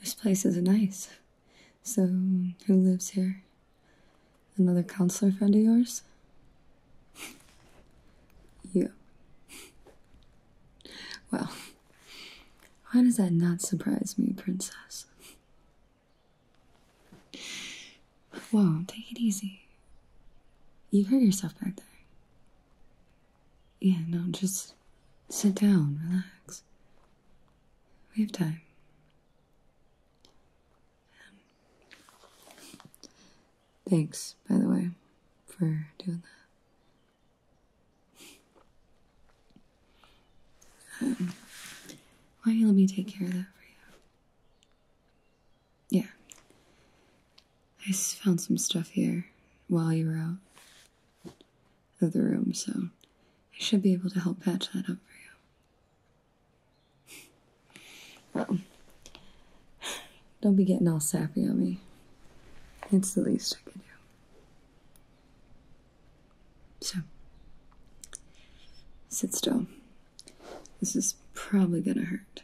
This place isn't nice. So, who lives here? Another counselor friend of yours? you. Well, why does that not surprise me, princess? Whoa, take it easy. You hurt yourself back there. Yeah, no, just sit down, relax. We have time. thanks, by the way, for doing that. Why don't you let me take care of that for you? Yeah. I found some stuff here while you were out of the room, so I should be able to help patch that up for you. well, don't be getting all sappy on me. It's the least I can do. So, sit still. This is probably gonna hurt.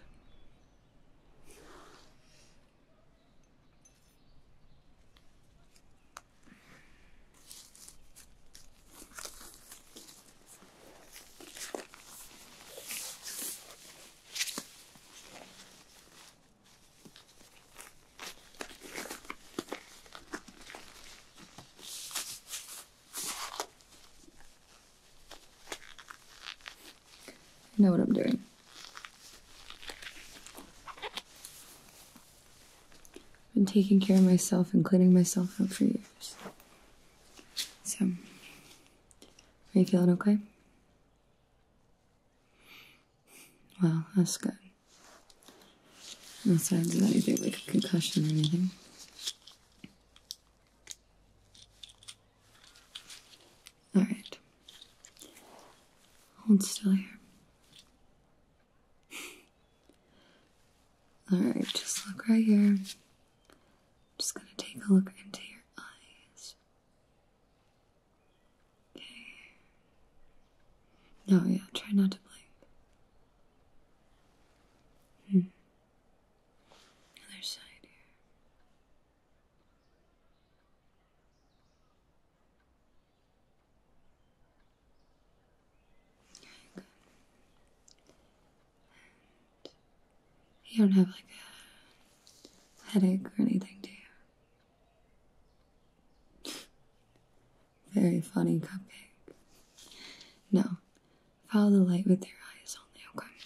I know what I'm doing. I've been taking care of myself and cleaning myself out for years. So, are you feeling okay? Well, that's good. No signs of anything like a concussion or anything. Alright. Hold still here. Alright, just look right here. just gonna take a look into your eyes. Okay. No, oh, yeah, try not to blink. Hmm. Other side here. Okay, you don't have like a headache or anything, do you? Very funny, Cupcake. No, follow the light with your eyes only, okay?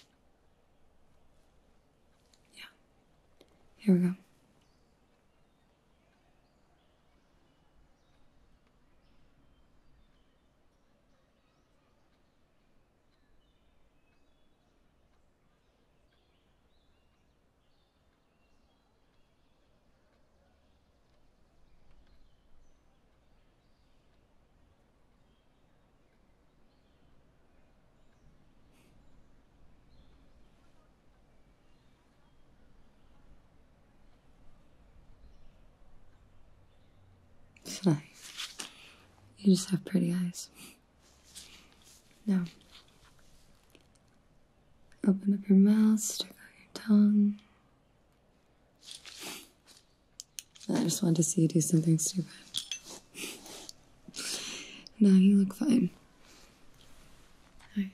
Yeah, here we go. It's You just have pretty eyes. No. Open up your mouth, stick out your tongue. I just wanted to see you do something stupid. now you look fine. Right.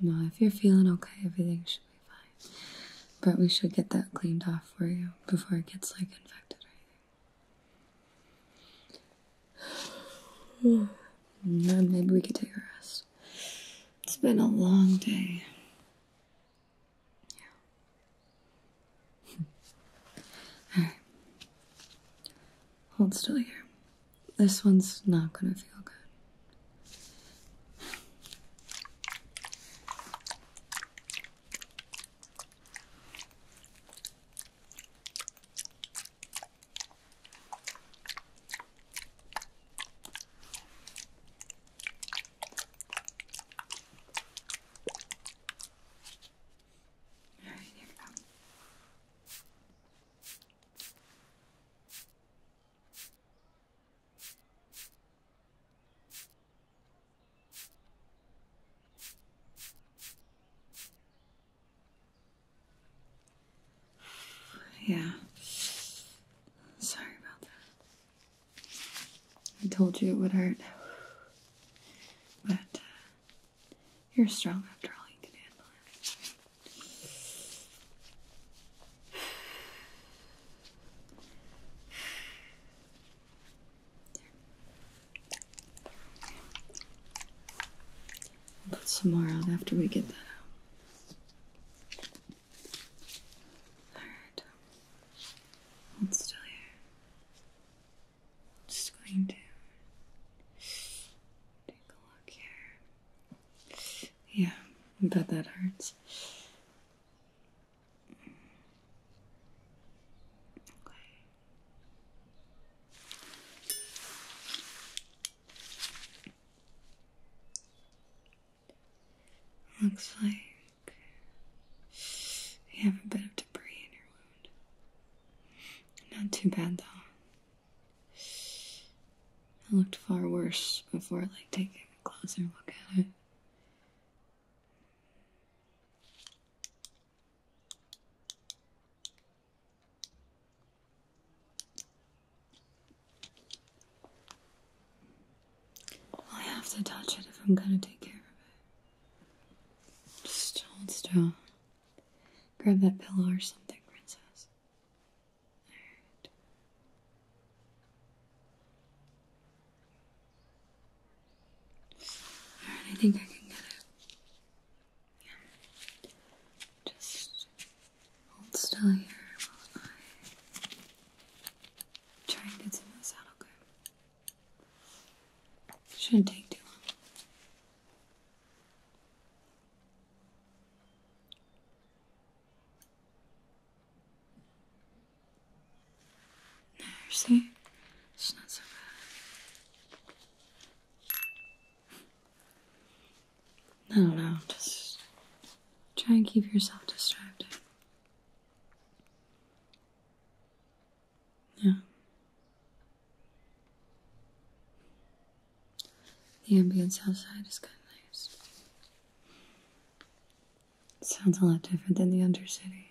No, if you're feeling okay, everything should be fine. But we should get that cleaned off for you before it gets like infected or anything. maybe we could take a rest. It's been a long day. Yeah. Hmm. Hold still here. This one's not gonna feel good. Yeah. Sorry about that. I told you it would hurt. But uh, you're strong after all. You can handle it. I'll put some more out after we get that out. Alright. Hold still here just going to take a look here. Yeah, I bet that hurts. Looks like you have a bit of debris in your wound. Not too bad though. It looked far worse before like taking a closer look at it. i have to touch it if I'm gonna take care of it. Just hold still. Grab that pillow or something, princess. Alright. I think I can get it. Just hold still here while I try and get some of this out, okay? Shouldn't take too long. There, see? It's not so bad. I don't know, just try and keep yourself distracted. Yeah. The ambience outside is kind of nice. sounds a lot different than the Undercity.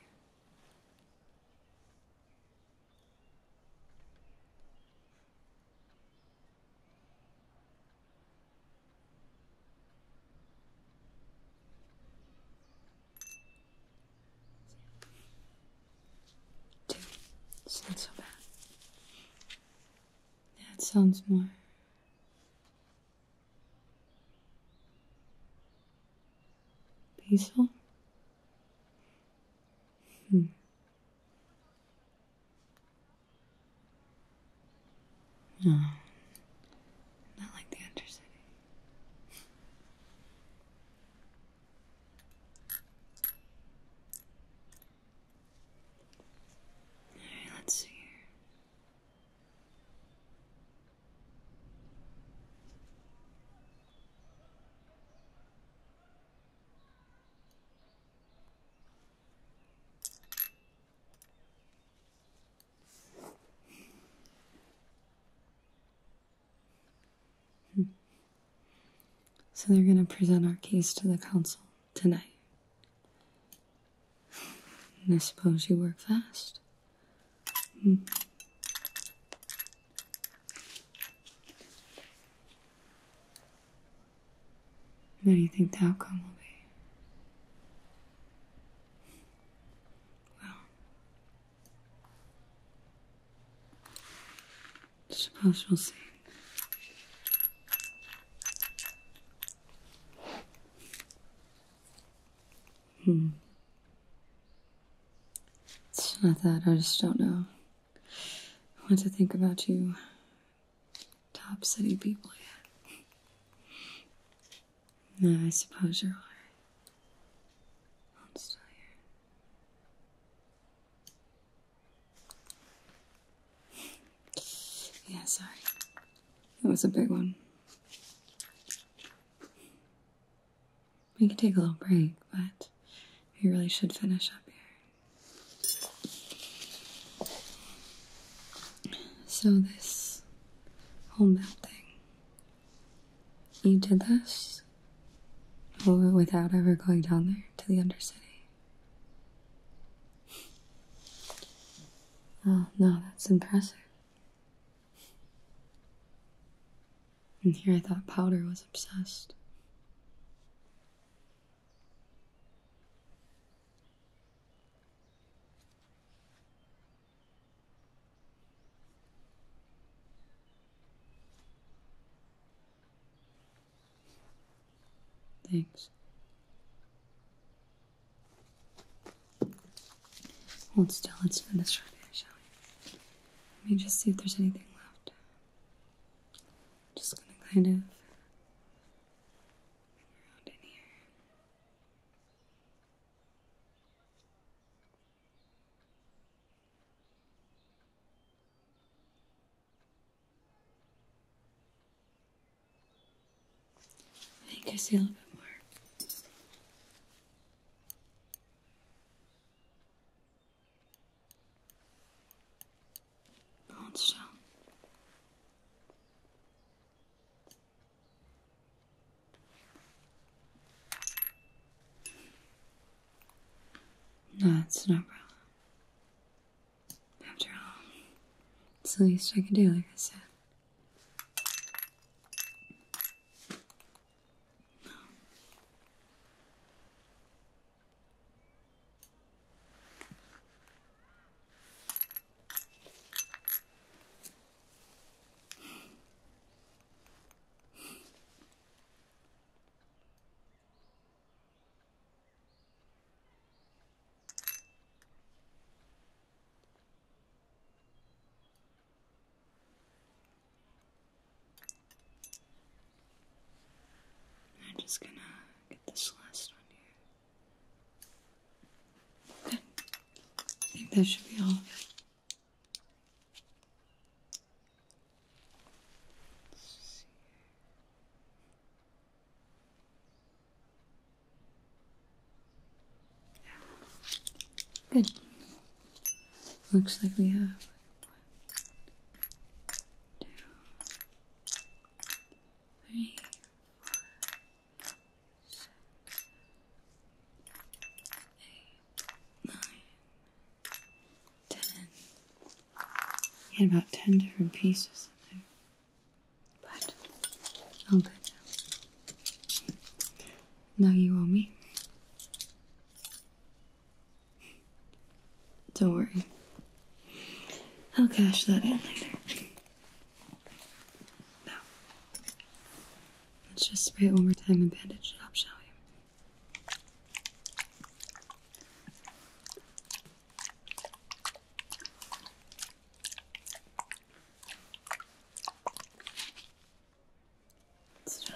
Two. not so bad. That sounds more. peaceful? Hmm. No, not like the Undercity. let's see here. So they're going to present our case to the council tonight. I suppose you work fast. Hmm. What do you think the outcome will be? Well, suppose we'll see. Hmm. It's not that, I just don't know I want to think about you, top city people yeah, I suppose you're right. right. I'm still here. yeah, sorry. That was a big one. We can take a little break, but we really should finish up here. So this whole thing. You did this without ever going down there to the Undercity. Oh, no, that's impressive. And here I thought Powder was obsessed. Thanks. Hold still, let's finish right here, shall Let me just see if there's anything left. just gonna kind of around in here. I think I see a little bit more. Hold still. That's no problem. After all, it's the least I can do, like I said. I'm just gonna get this last one here. I think that should be all Good. Looks like we have one, two, three, four, eight, He had about ten different pieces in there. But all good now. Now you owe me. Don't worry. I'll cash that in later. Now, let's just spray it one more time and bandage it up, shall we? Let's try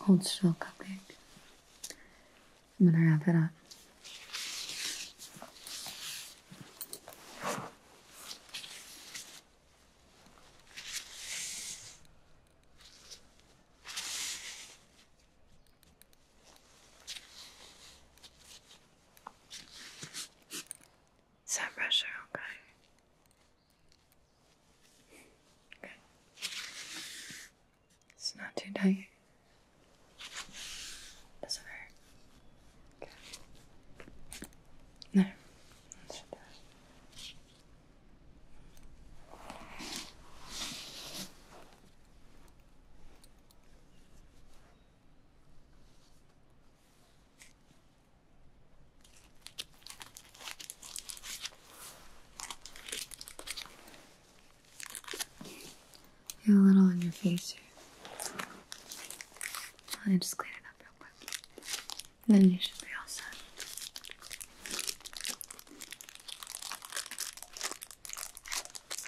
Hold still, cupcake. I'm gonna wrap it up. Some pressure, okay. Okay. It's not too tight. Doesn't hurt. Okay. No. You're a little on your face here. i just clean it up real quick. And then you should be all set.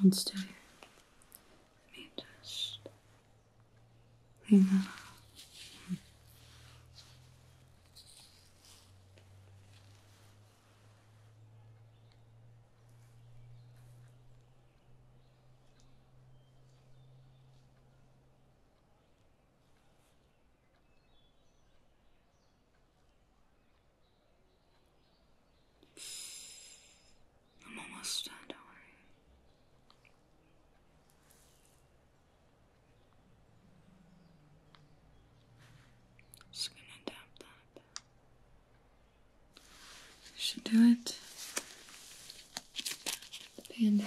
Hold still here. Let me just clean that I'm almost done, don't worry. Just gonna dab that. Should do it. The band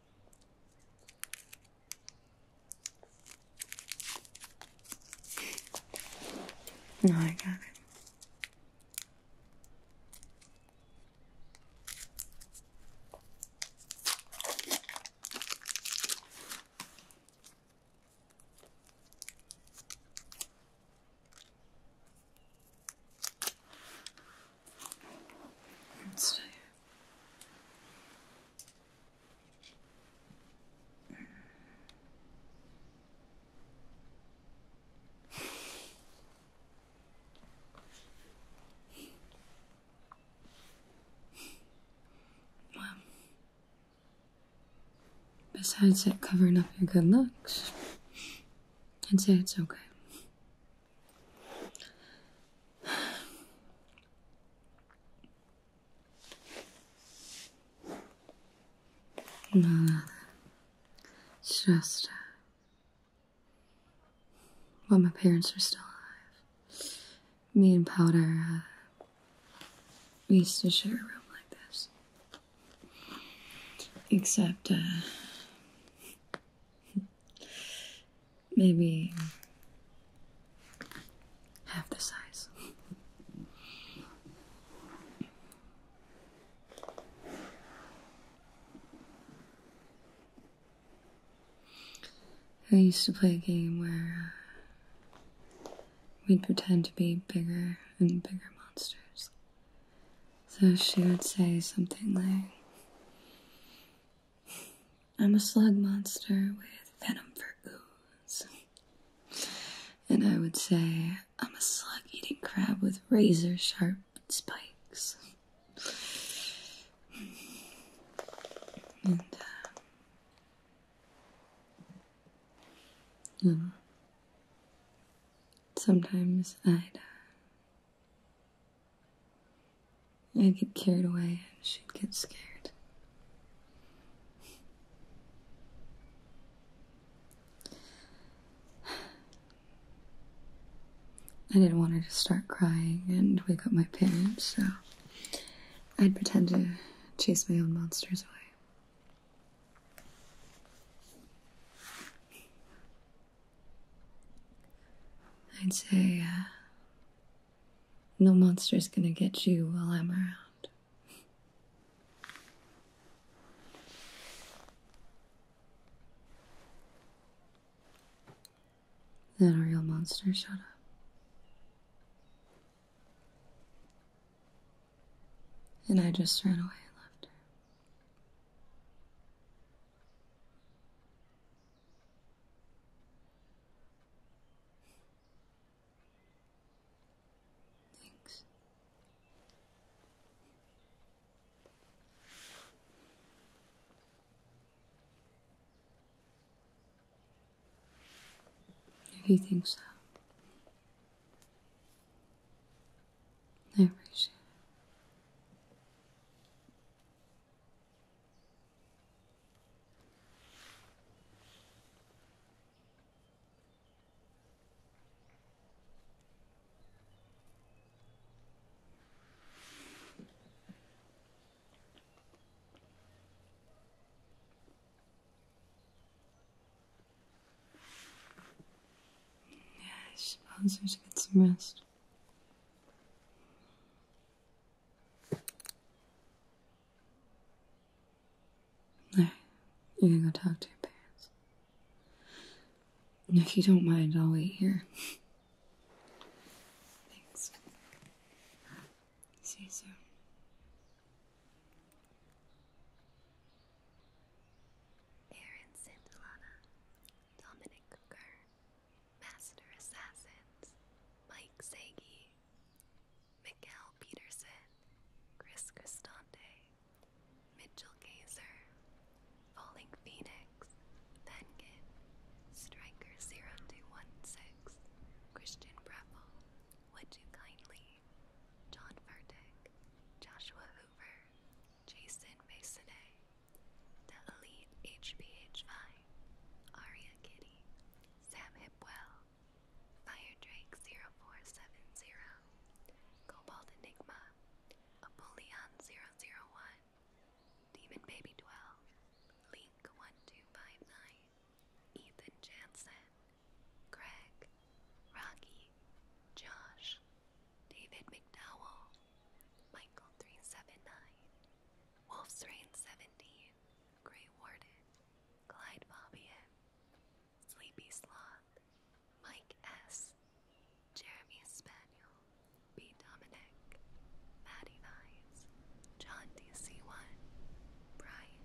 No, I got it. So well, besides it covering up your good looks, I'd say it's okay. No, other. It's just uh, my parents are still alive, me and Powder uh, used to share a room like this. Except, uh, maybe half the size. I used to play a game where we'd pretend to be bigger and bigger monsters. So she would say something like, I'm a slug monster with venom for ooze. And I would say I'm a slug eating crab with razor sharp spikes. And, uh, hmm. sometimes I'd uh, I'd get carried away and she'd get scared. I didn't want her to start crying and wake up my parents, so I'd pretend to chase my own monsters away. I'd say uh, no monster's gonna get you while I'm around. Then a real monster, shut up. And I just ran away and left her. Thanks. If you think so, I appreciate it. Yes, sponsors dus get some rest. There, you can go talk to your parents. If you don't mind, I'll wait here. Thanks. See you soon. Aaron sent Dominic Kerr, Master Assassins Mike Segi, Mikkel Peterson, Chris Cristante, Mitchell Gazer, Falling Phoenix, Penkin, Striker0216, Christian Breville, Would You Kindly, John Furtick, Joshua Hoover, Jason Masonay, the Elite HBHI, Aria Kitty, Sam Hipwell, Fire Drake 0470, Cobalt Enigma, Apollyon 001, Demon Baby 12, Link 1259, Ethan Jansen, Greg, Rocky, Josh, David McDowell, Michael 379, Wolf's Rain 17, Grey Warden, Clyde Bobbian, Sleepy Sloth, Mike S., Jeremy Spaniel, B. Dominic, Maddie Vines, John DC1, Brian.